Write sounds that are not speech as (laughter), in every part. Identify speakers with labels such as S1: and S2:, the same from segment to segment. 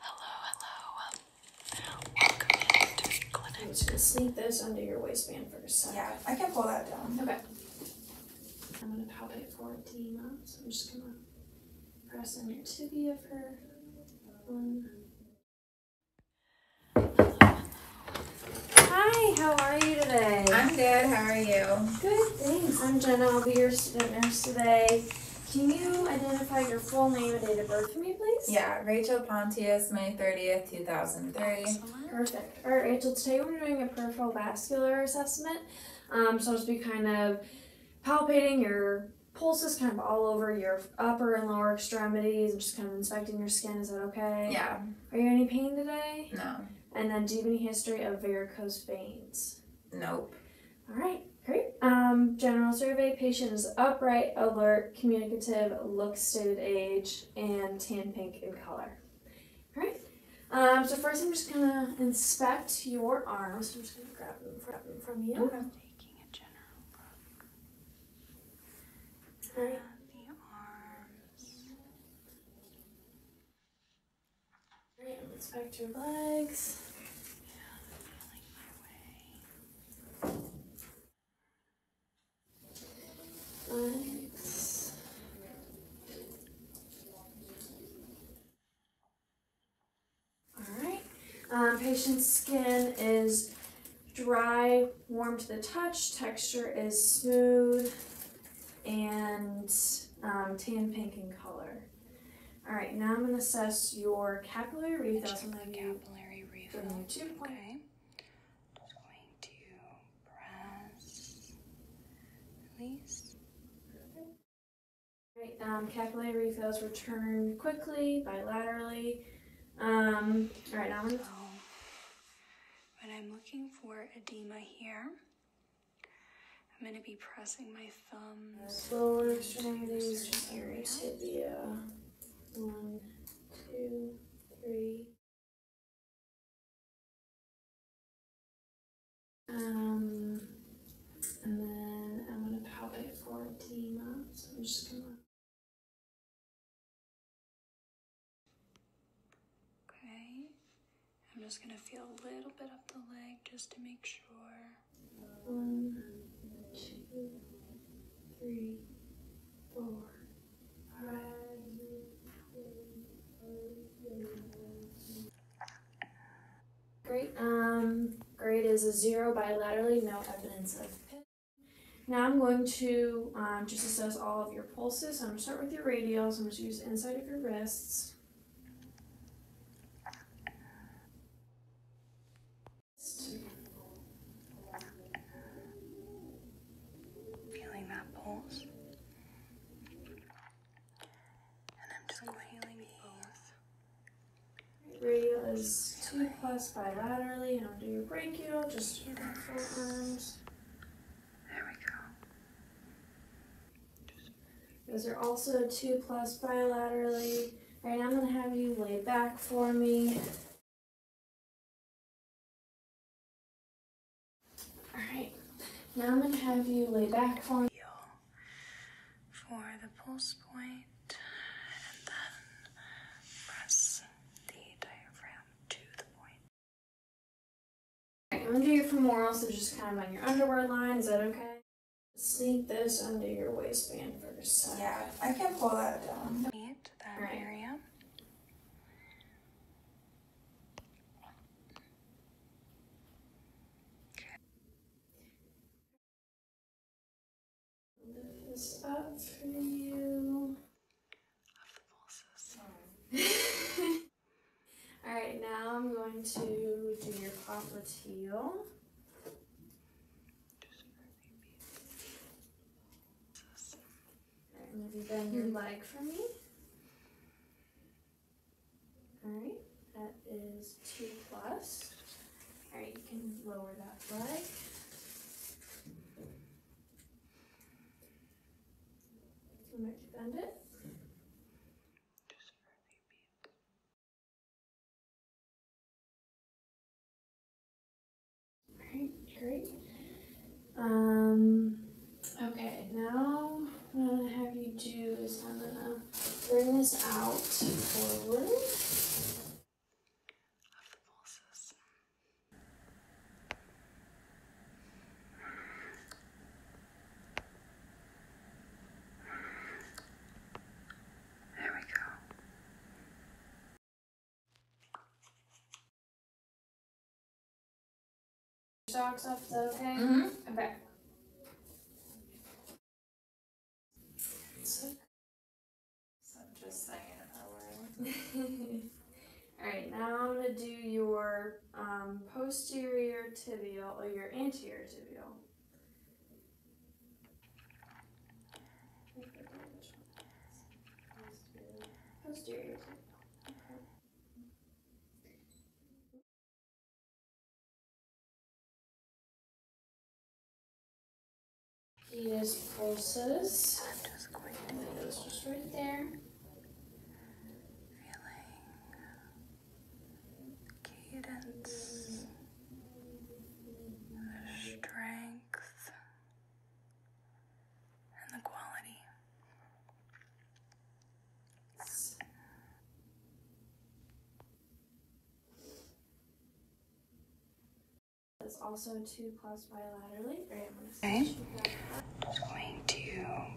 S1: Hello, I'm gonna sleeve this under your waistband for Yeah, I can pull that down. Okay. I'm gonna palpate for edema, I'm just gonna press on your tibia for one. Hi, how are you today? I'm good. How are you? Good, thanks. I'm Jenna. I'll be your student nurse today. Can you identify your full name and date of birth for me, please? Yeah, Rachel Pontius, May 30th, 2003. Perfect. All right, Rachel, today we're doing a peripheral vascular assessment. Um, so I'll just be kind of palpating your pulses kind of all over your upper and lower extremities and just kind of inspecting your skin. Is that okay? Yeah. Are you any pain today? No. And then do you have any history of varicose veins? Nope. All right, great. Um, general survey, patient is upright, alert, communicative, looks stated age, and tan pink in color. All right. Um, so first I'm just gonna inspect your arms. I'm just gonna grab them from, from you. Okay. I'm taking a general look. All right. The arms. Alright, let's back your legs.
S2: legs.
S1: Alright. Um, patient's skin is dry, warm to the touch, texture is smooth, and um, tan pink in color. All right, now I'm going to
S3: assess your capillary wreath. That's the capillary wreath. From two point. Okay. Just going to press, release.
S1: Perfect. All right, um, capillary refills return quickly,
S3: bilaterally.
S1: Um, all right, now But
S3: I'm looking for edema here. I'm going to be pressing my thumbs.
S2: Slowly string these to tibia. One, two, three. Um, and then I'm going to palpate for edema. So I'm just going to Okay, I'm just going to feel a little bit up the leg
S3: just to make sure. One, two, three, four, five.
S1: Great. Um, grade is a zero bilaterally, no evidence of pit. Now I'm going to um, just assess all of your pulses. I'm going to start with your radials. I'm going to use inside of your wrists.
S3: Feeling that pulse. And I'm just feeling going
S1: healing is two plus bilaterally, and I'll do your brachial, just your forearms. There we go. Those are also two plus bilaterally. All right, I'm gonna have
S2: you lay back for me. All right, now I'm gonna have you lay back for
S3: For the pulse point, and
S2: then press the diaphragm to the point. Right, I'm
S1: gonna do your femoral, so just kind of on your underwear line. Is that okay? Sneak this under your waistband first. Yeah, I can pull that down.
S3: that right. area.
S2: Lift this up for you. Off the
S1: pulses. (laughs) All right, now I'm going to do your popliteal. heel. Right, maybe bend your mm-hmm. leg for me. All right, that is two plus. All right, you can lower that leg.
S2: So much bend it great. Um, okay, now what I'm
S1: going to have you do is I'm going to bring this out forward
S2: there we go. Socks off okay? Mm hmm Okay. I'm just saying (laughs)
S1: Alright, now I'm gonna do your um, posterior tibial or your anterior tibial.
S2: Posterior tibial. pulses. i just right there. Feeling cadence, the
S3: strength, and the quality.
S1: That's also two plus bilaterally. Okay. Just going
S3: to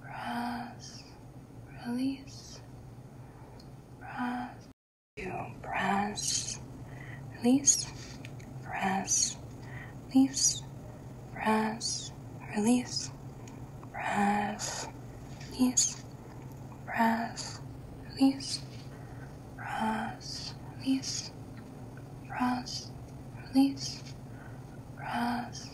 S3: breath, release, breath, two, breath, release, breath, release, breath, release, breath, release, breath, release, breath, release, breath, release, breath,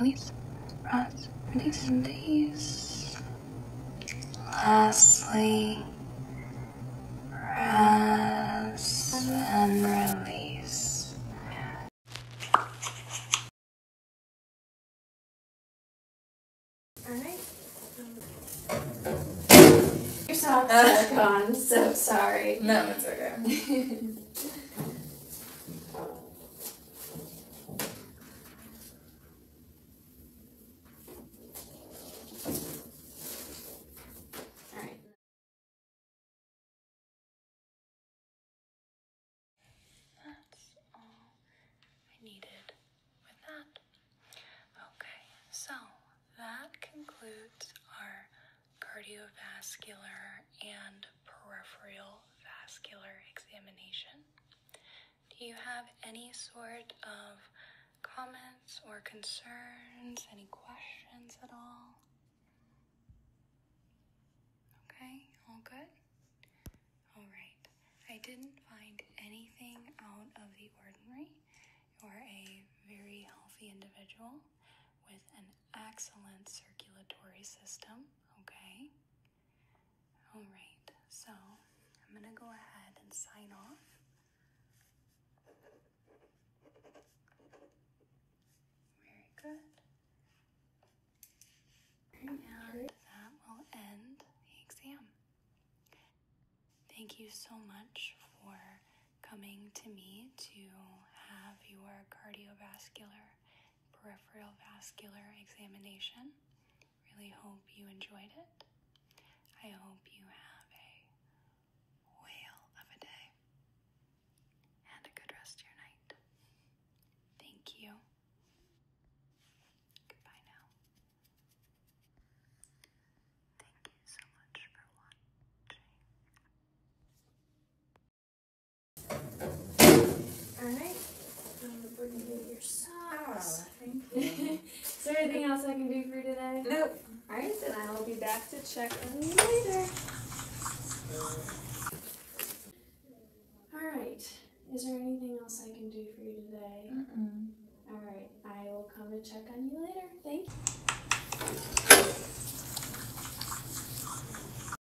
S3: release, release, rise, release, release. Lastly, press
S2: and release. Alright. Your socks are gone, so sorry. No, it's okay. (laughs) needed with that.
S3: Okay, so that concludes our cardiovascular and peripheral vascular examination. Do you have any sort of comments or concerns, any questions at all? Okay, all good? Alright, I didn't find anything out of the ordinary. You're a very healthy individual with an excellent circulatory system, okay? All right, so I'm going to go ahead and sign off. Very good. And that will end the exam. Thank you so much for coming to me to have your cardiovascular peripheral vascular examination. Really hope you enjoyed it. I hope you have a whale of a day and a good rest your night. Thank you. Goodbye now. Thank you so much for watching.
S1: Alright. Oh, thank you. Is there anything else I can do for you today? Nope. Alright, then I will be back to check on you later. Alright. Is there anything else I
S3: can do for you today? Mm -mm. Alright, I will come and check on you later. Thank you.